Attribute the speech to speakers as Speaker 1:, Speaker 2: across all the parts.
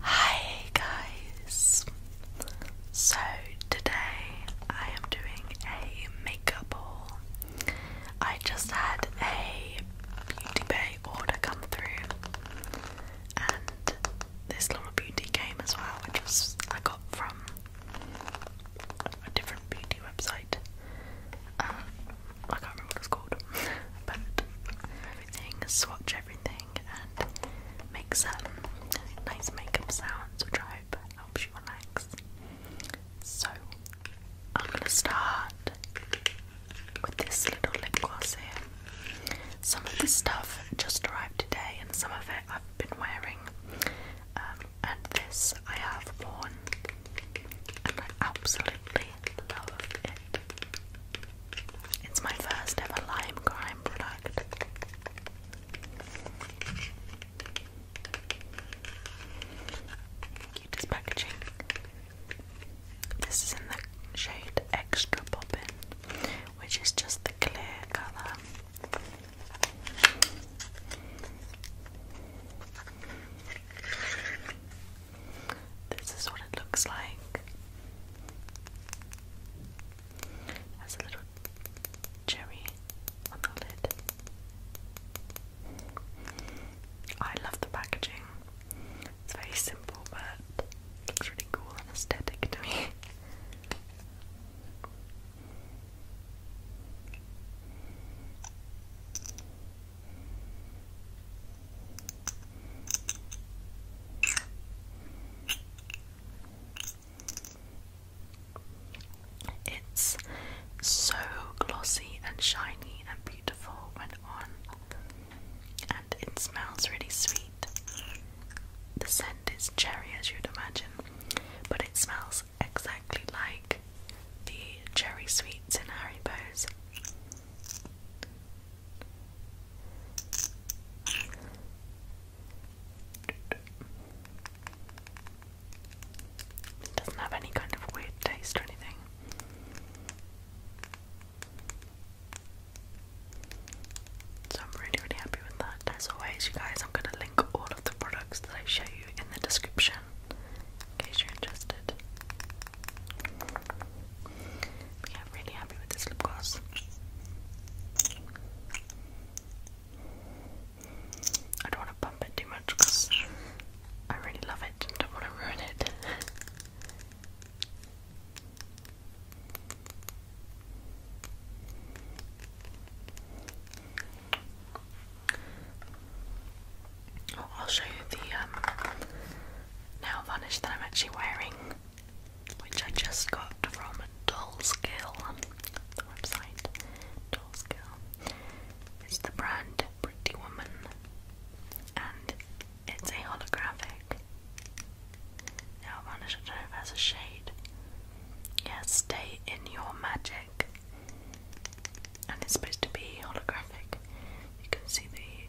Speaker 1: Hi guys! So today I am doing a makeup haul. I just had a Beauty Bay order come through and this little beauty game as well which was I got from a different beauty website. Um, I can't remember what it's called. but everything, swatch everything and make some nice makeup sounds, which I hope helps you relax. So, I'm gonna start with this little lip gloss here. Some of this stuff just arrived today, and some of it I've been wearing. Um, and this I have worn, and I absolutely it's my first ever lime crime product. Cutest packaging. This is in the shade Extra Poppin', which is just the clear colour. This is what it looks like. Has a little cherry on the lid. I love the packaging. It's very simple, but looks really cool and aesthetic to me. It's so glossy and shiny and beautiful when on, and it smells really sweet. The scent is cherry, as you'd imagine, but it smells exactly like the cherry sweets in Haribo's. It doesn't have any kind of weird taste or anything. So I'm really, really happy with that. As always, you guys, I'm going to link all of the products that I show you in the description in case you're interested yeah, really happy with this lip gloss. I don't want to bump it too much I really love it don't want to ruin it. Oh, I'll show you the um, now, varnish that I'm actually wearing, which I just got from Dollskill, the website. Dollskill. It's the brand Pretty Woman, and it's a holographic nail varnish. I don't know if it has a shade. Yeah, stay in your magic. And it's supposed to be holographic. You can see the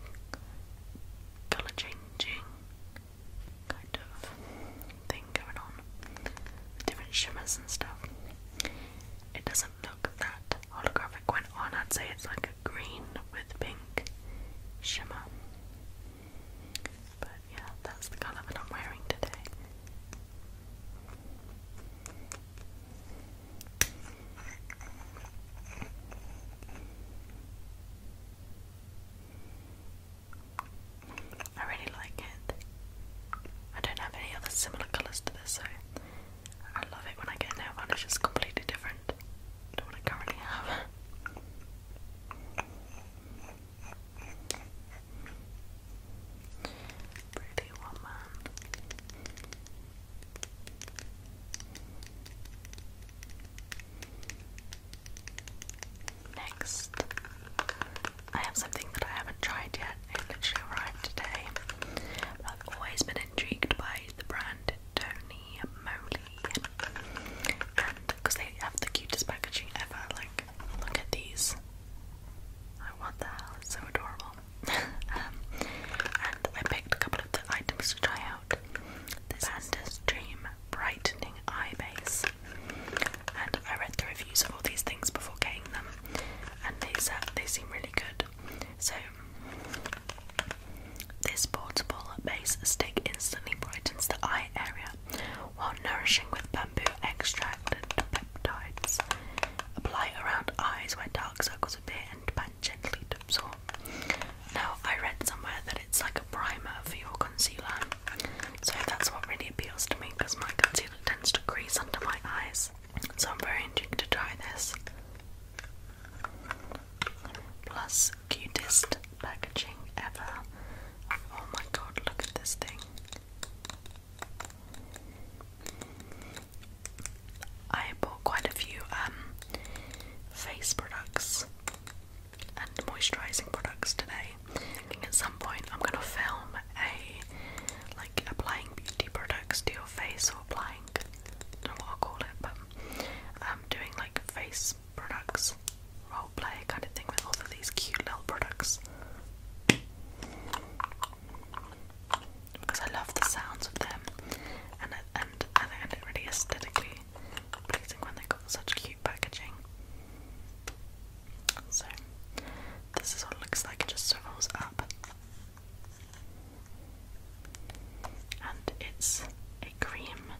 Speaker 1: colour changing kind of thing going on different shimmers and stuff. It doesn't look that holographic when on, I'd say it's like a green with pink shimmer. But yeah, that's the colour that I'm wearing today. I really like it. I don't have any other similar colours to this, so I love it when I get a nail varnish that's completely different to what I currently have. Pretty woman. Next, I have something that I haven't tried yet. It literally arrived today. I've always been intrigued by the brand Tony Moly, because they have the cutest packaging ever. Like, look at these. Like, what the hell? so adorable. Um, and I picked a couple of the items to try out out Dream Brightening Eye Base. And I read the reviews of all these things before getting them, and these uh, they seem really good. So this portable base stick instantly brightens the eye area while nourishing with bamboo extract and peptides. Apply around eyes where dark circles appear and bang and gently Now, I read somewhere that it's like a primer for your concealer, so that's what really appeals to me because my concealer tends to crease under my eyes. So I'm very intrigued to try this. Plus, cutest packaging ever. Oh my god, look at this thing. I bought quite a few um, face products and moisturising products today. at some point I'm gonna film a like applying beauty products to your face or applying I don't know what i call it, but um, doing like face products role play kind of thing with all of these cute little products because I love the sounds of them, and it, and I think really aesthetically pleasing when they got such cute packaging. So this is what it looks like. It just swirls up, and it's a cream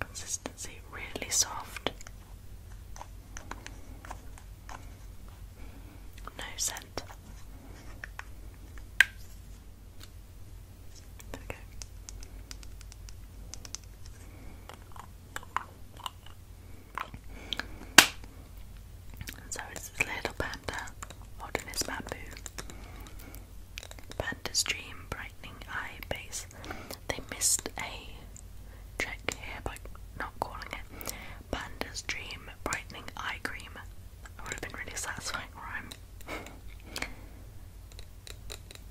Speaker 1: consistency, really soft. No scent. So it's this little panda holding his bamboo. Panda's dream brightening eye base. They missed a check here by not calling it Panda's dream brightening eye cream. That would have been really satisfying rhyme.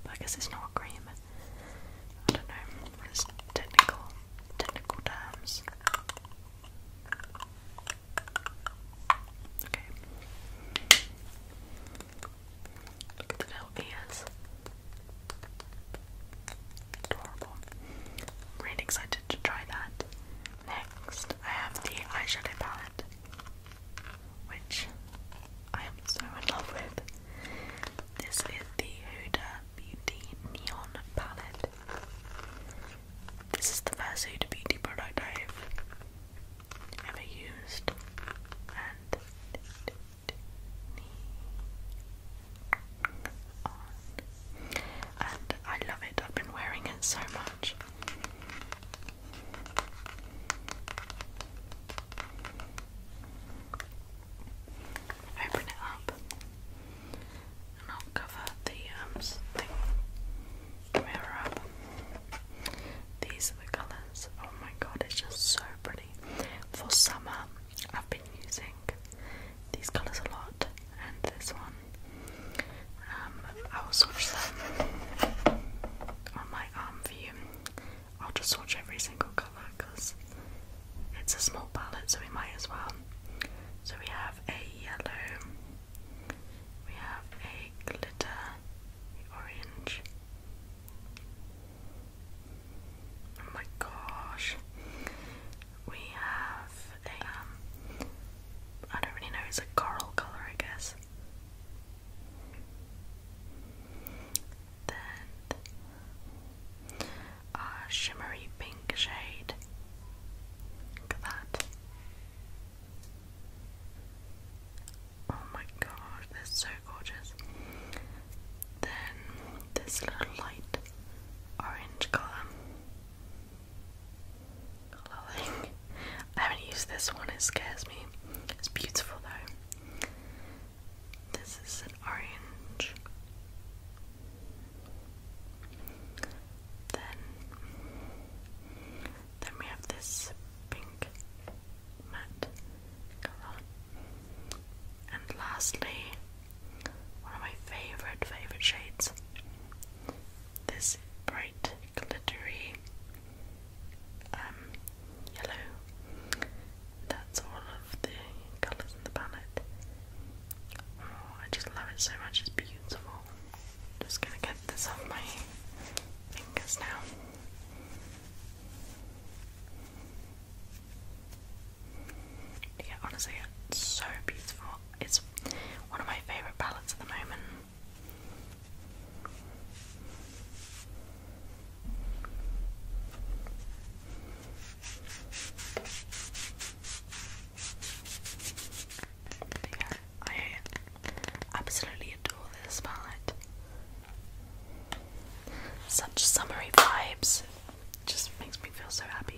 Speaker 1: I guess it's not cream. I don't know. It's technical, technical terms. Okay. Look at the little ears. Adorable. am really excited to try that. Next, I have the eyeshadow palette, which I am so in love with. This is the Huda Beauty Neon Palette. This is the first Huda Beauty product I've ever used, and I love it. I've been wearing it so much. Open it up, and I'll cover the um, mirror These are the colours. Oh my god, it's just so pretty. For summer, I've been using these colours a lot, and this one um, I will swatch them on my arm for you. I'll just swatch every single colour because it's a small palette, so we might as well. So we have a yellow, we have a glitter, orange. Oh my gosh. We have um, I don't really know, it's a coral colour I guess. Then a shimmery pink shade. Look at that. Oh my god, they're so gorgeous. Then this little light orange colour. Lulling. I haven't used this one, it scares me. It's beautiful though. This is an orange. Then, then we have this pink matte colour. And lastly, one of my favourite, favourite shades this bright glittery um, yellow. That's all of the colours in the palette. Oh, I just love it so much, it's beautiful. Just gonna get this off my fingers now. Yeah, honestly, it's so beautiful. It's one of my favourite palettes at the moment. yeah, I absolutely adore this palette. Such summery vibes. Just makes me feel so happy.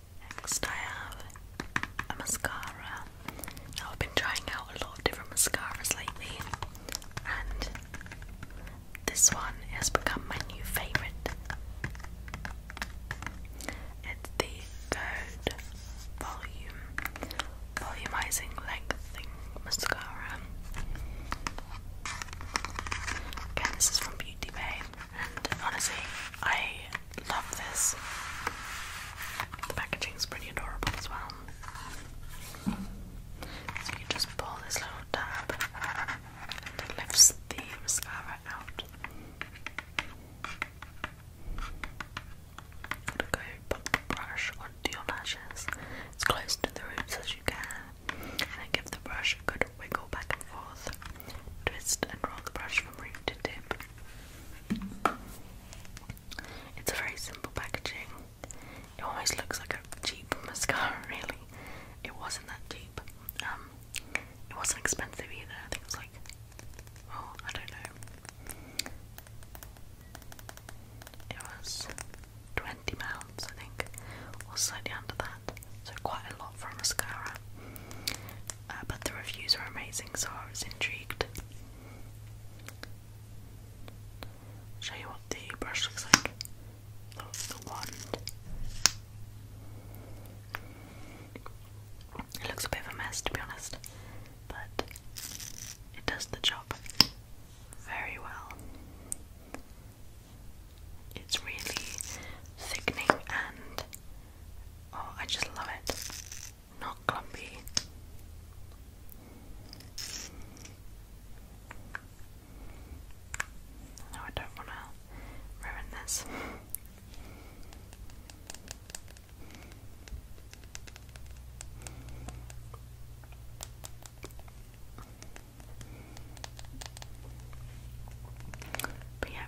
Speaker 1: Next I have a mascara. Now I've been trying out a lot of different mascaras lately and this one has become my new favourite. It's the Code Volume Volumizing Lengthening Mascara. Again, this is from Beauty Bay, and honestly, I Love this. The packaging is pretty adorable as well. So you just pull this little tab it lifts the mascara out. I'm gonna go brush onto your lashes. It's close to the roots as you can. And give the brush a good wiggle back and forth. Twist and roll the brush from root to tip. It's a very simple packaging. It almost looks like a cheap mascara, really. It wasn't that cheap. Um, it wasn't expensive either. I think it was like, oh, I don't know. It was twenty pounds, I think, or slightly under that. So quite a lot for a mascara. Uh, but the reviews were amazing, so I was intrigued. show you what the brush looks like. the wand. It looks a bit of a mess, to be honest, but it does the job very well. It's really thickening and oh, I just love it not clumpy. No, I don't want to ruin this. But yeah,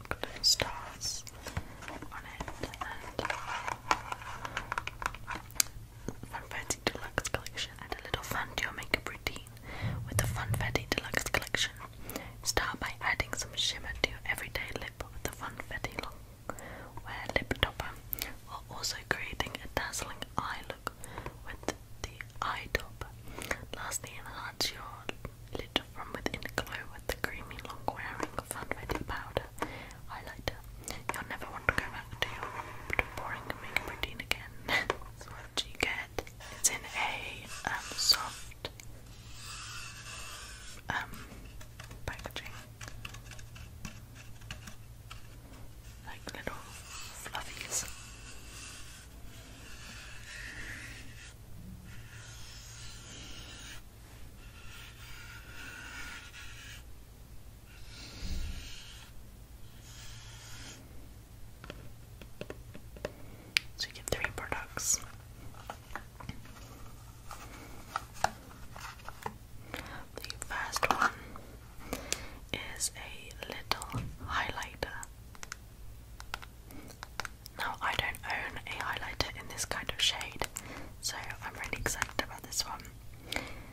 Speaker 1: looked stars on it Funfetti Deluxe Collection and a little fun to your makeup routine with the Funfetti Deluxe Collection. Start by adding some shimmer to your everyday lip with the Funfetti Long Wear Lip Topper while also creating a dazzling eye look with the eye top. Lastly, enhance your lid from within glow with the creamy long-wearing fun powder highlighter. You'll never want to go back to boring makeup routine again. so what you get? It's in a um, soft um, packaging. Like little fluffies. So you get three products. The first one is a little highlighter now, I don't own a highlighter in this kind of shade, so I'm really excited about this one.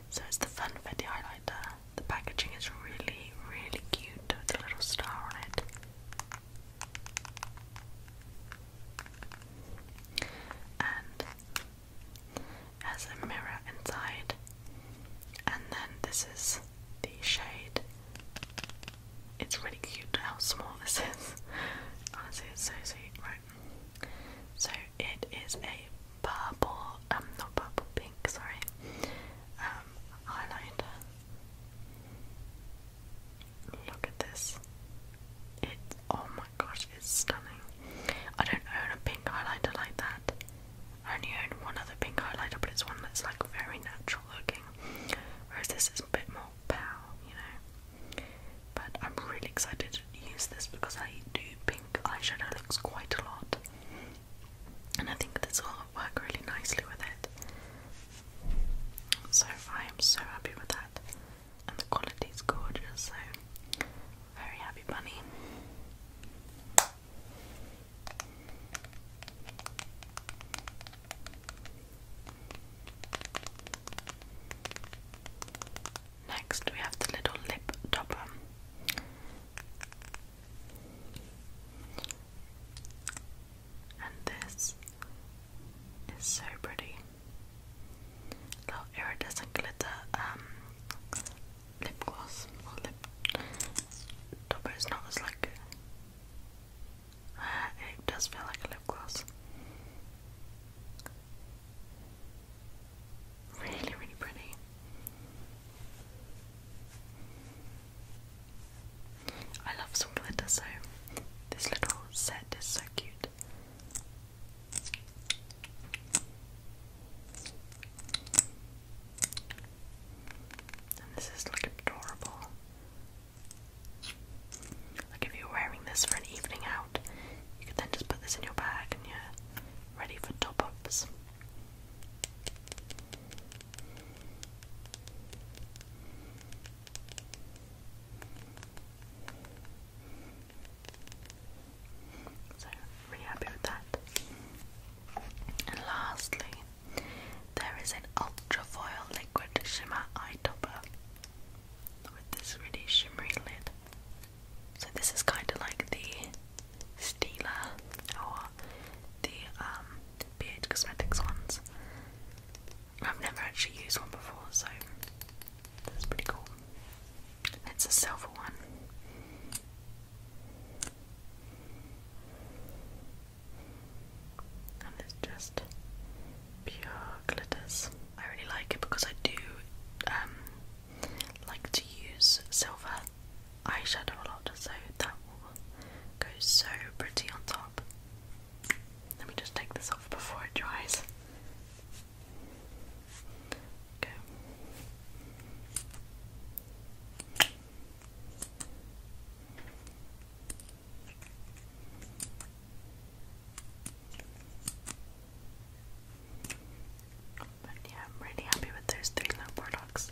Speaker 1: So, it's the Funfetti highlighter. The packaging is really, really cute with a little star on it. And has a mirror inside, and then this is the shade. It's really cute how small this is. Honestly, it's so sweet. Right. So it is a purple, um, not purple, pink, sorry, um, highlighter. Look at this. It's, oh my gosh, it's stunning. I don't own a pink highlighter like that. only own one other pink highlighter, but it's one that's like very natural looking. Whereas this is a bit more pow, you know. But I'm really excited to use this because I do pink eyeshadow looks quite a lot. And I think this will work really nicely with it. So I am so happy with that. And the quality is gorgeous, so very happy bunny. Next, we have the little lip topper. And this is so pretty. Little iridescent glitter um, lip gloss or lip topper. It's not as like it does feel like a lip gloss. Really, really pretty. I love some glitter, so this little set is so cute. And this is like adorable. Like if you're wearing this for an evening out, you could then just put this in your bag and you're ready for top ups. So, really happy with that. And lastly, there is an ultrafoil liquid shimmer eye topper with this really shimmery lid. So this is kind of like the Stila or the um, Cosmetics ones. I've never actually used one before, so that's pretty cool. It's a silver one. And it's just pure glitters. I really like it because I do um, like to use silver eyeshadow a lot, so that will go so pretty on top. Let me just take this off before it dries. Okay yeah, I'm really happy with those three little products.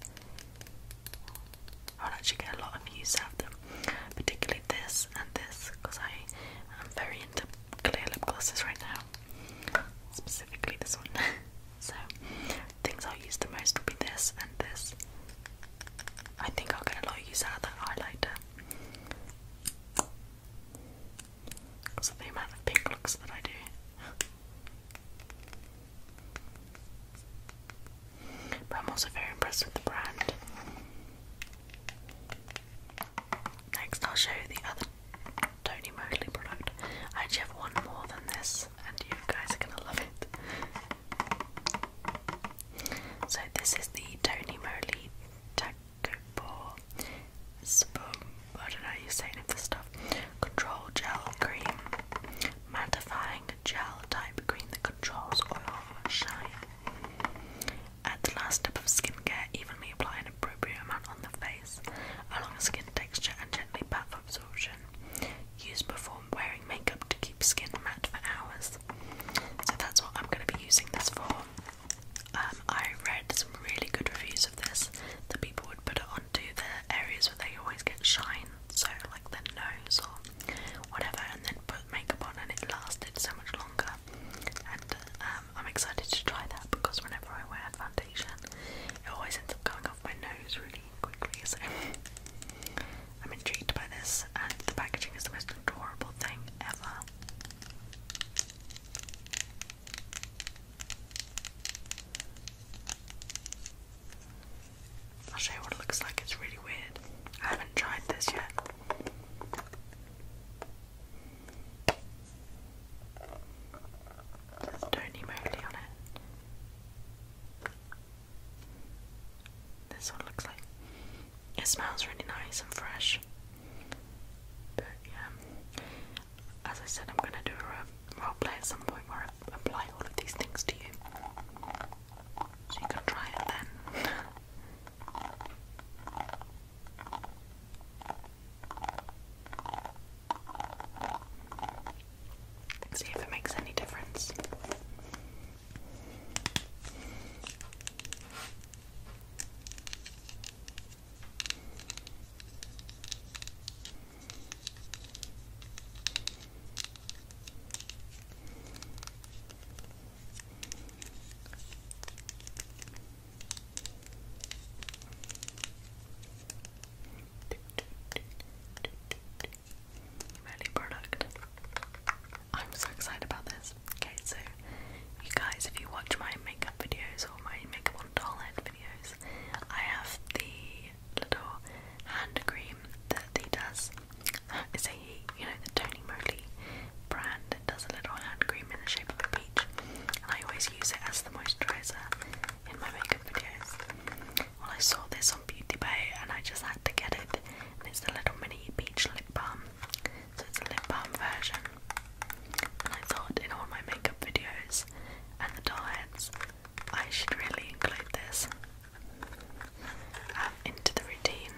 Speaker 1: I'll actually get a lot of use out of them, particularly this and this, because I am very into clear lip glosses right now, specifically this one. So, things i use the most will be this and this. I think I'll get a lot of use out of that highlighter. Because of the pink looks that I do. But I'm also very impressed with the brand. Next, I'll show you the other Tony Mosley product. I actually have one more than this and you guys are gonna love it. So, this is the Tony Moly Tacopo Spum. I don't know you say any of this stuff. Control Gel Cream. Mattifying gel type cream that controls all oil shine. At the last step of skincare, evenly apply an appropriate amount on the face, along the skin texture, and gently pat for absorption. Used before wearing makeup to keep skin matte for hours. So that's what I'm going to be using this for. Um, I read some really good reviews of this that people would put it onto the areas where they always get shine, so like their nose or whatever, and then put makeup on, and it lasted so much longer. And um, I'm excited to try that because whenever I wear foundation, it always ends up going off my nose really quickly, I'm intrigued by this, and the packaging is the most adorable thing ever. I'll show you what it looks like, it's really weird. I haven't tried this yet. There's Tony on it. This one looks like it smells really nice and fresh. But yeah, as I said, I'm gonna do a roleplay at some point where I apply all of these things to you, so you can try it then. See if it makes any difference. Melly product. I'm so excited about this. Okay, so you guys, if you watch my makeup videos or my makeup on doll head videos, I have the little hand cream that they does. It's a you know, the Tony Moly brand It does a little hand cream in the shape of a peach, and I always use it as the moisturizer in my makeup videos. Well, I saw this on Beauty Bay and I just had to get it. And it's the little mini peach lip balm. So it's a lip balm version. And I thought in all my makeup videos and the doll heads, I should really include this um, into the routine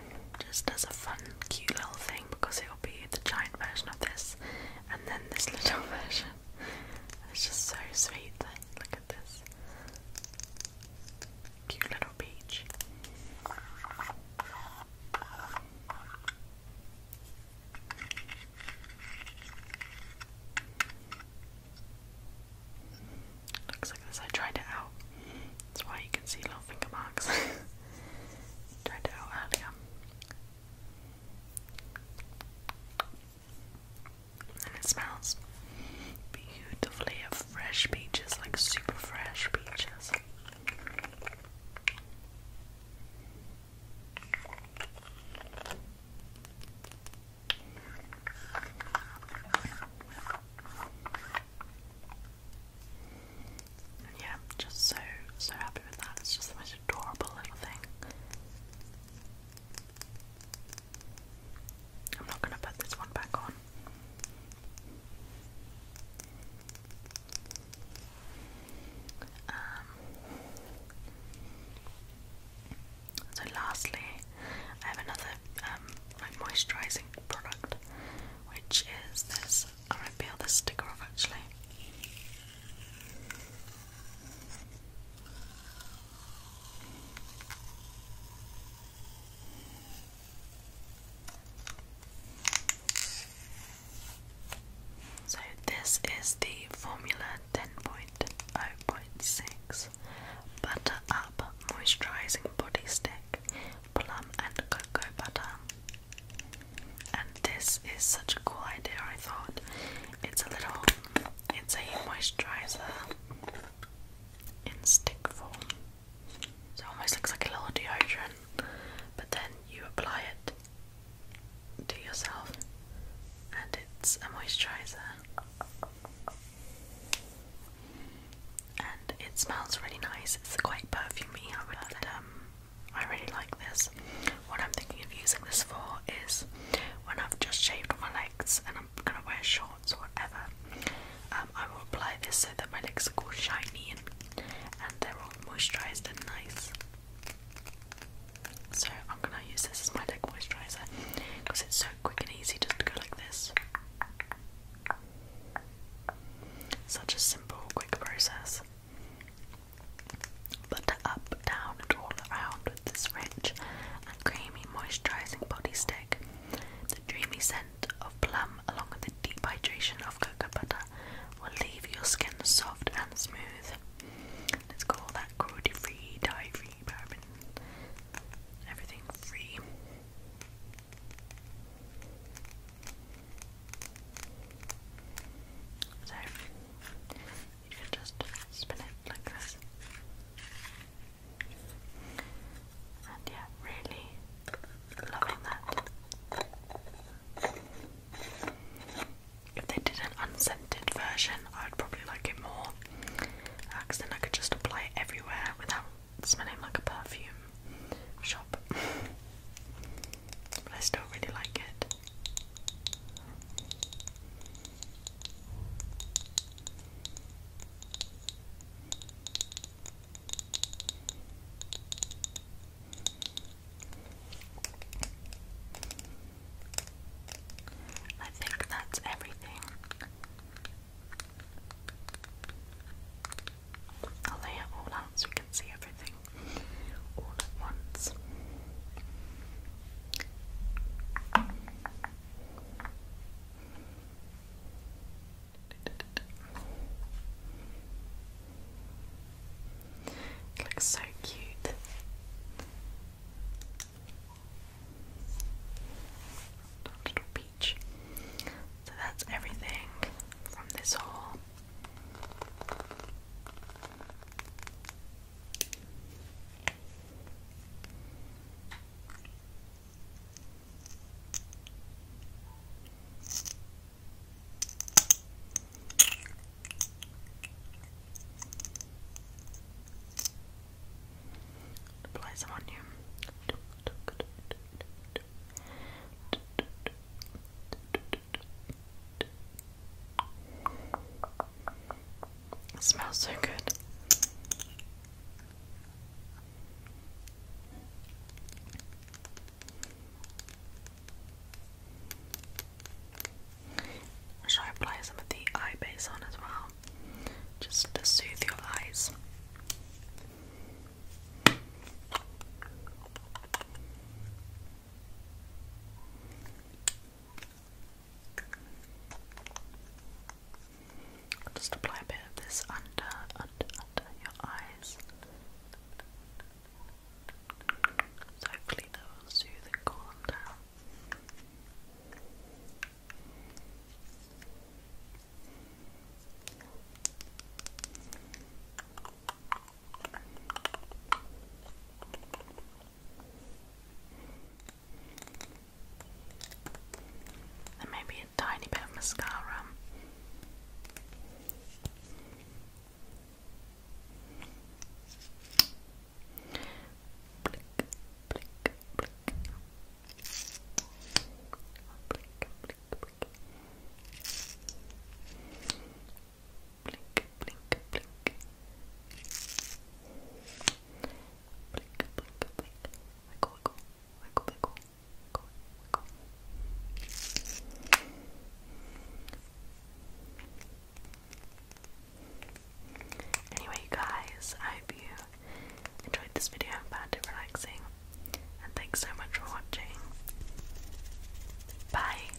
Speaker 1: just as a fun, cute little thing because it will be the giant version of this and then this little version. It's just so sweet this cute little beach. Looks like this. I tried it out. That's why you can see little finger marks. tried it out earlier. And it smells beautifully of fresh peaches, like super fresh peaches. yeah, just so so happy with that. It's just the most adorable little thing. I'm not going to put this one back on. Um, so lastly, I have another um, like moisturising product, which is this. I'm peel this sticker off actually. So, this is the Formula 10.0.6 Butter Up Moisturizing Body Stick, Plum and Cocoa Butter. And this is such a cool idea, I thought. It's a little it's a moisturizer in stick form. it almost looks like a little deodorant, but then you apply it to yourself, and it's a moisturizer. And it smells really nice. It's quite perfumey, um, I really like this. What I'm thinking of using this for is when I've just shaved my legs and I'm gonna wear shorts whatever, um, I will apply this so that my legs are all shiny and they're all moisturised and nice. So I'm gonna use this as my leg moisturiser because it's so quick and easy just to go like this. Such a simple, quick process butter up, down, and all around with this rich and creamy moisturizing body stick. The dreamy scent of plum, along with the deep hydration of cocoa butter, will leave your skin soft and smooth. Let's call that cruelty free, dye free, paraben, everything free. So, you can just spin it like this. And yeah, really loving that. If they did an unscented version, I would probably like it more. Uh, then I could just apply it everywhere without smelling like a perfume shop. but I still really like it. I think that's everything. I'll lay it all out so you can see everything all at once. It looks so cute. Little peach. So that's everything from this haul. Apply some on you smells so good. Shall I apply some of the eye base on as well? Just to soothe your eyes just apply a bit of this under, under, under your eyes. So hopefully that will soothe and calm down. And maybe a tiny bit of mascara blink, Anyway, you guys, I hope you enjoyed this video and found it relaxing. And thanks so much for watching. Bye.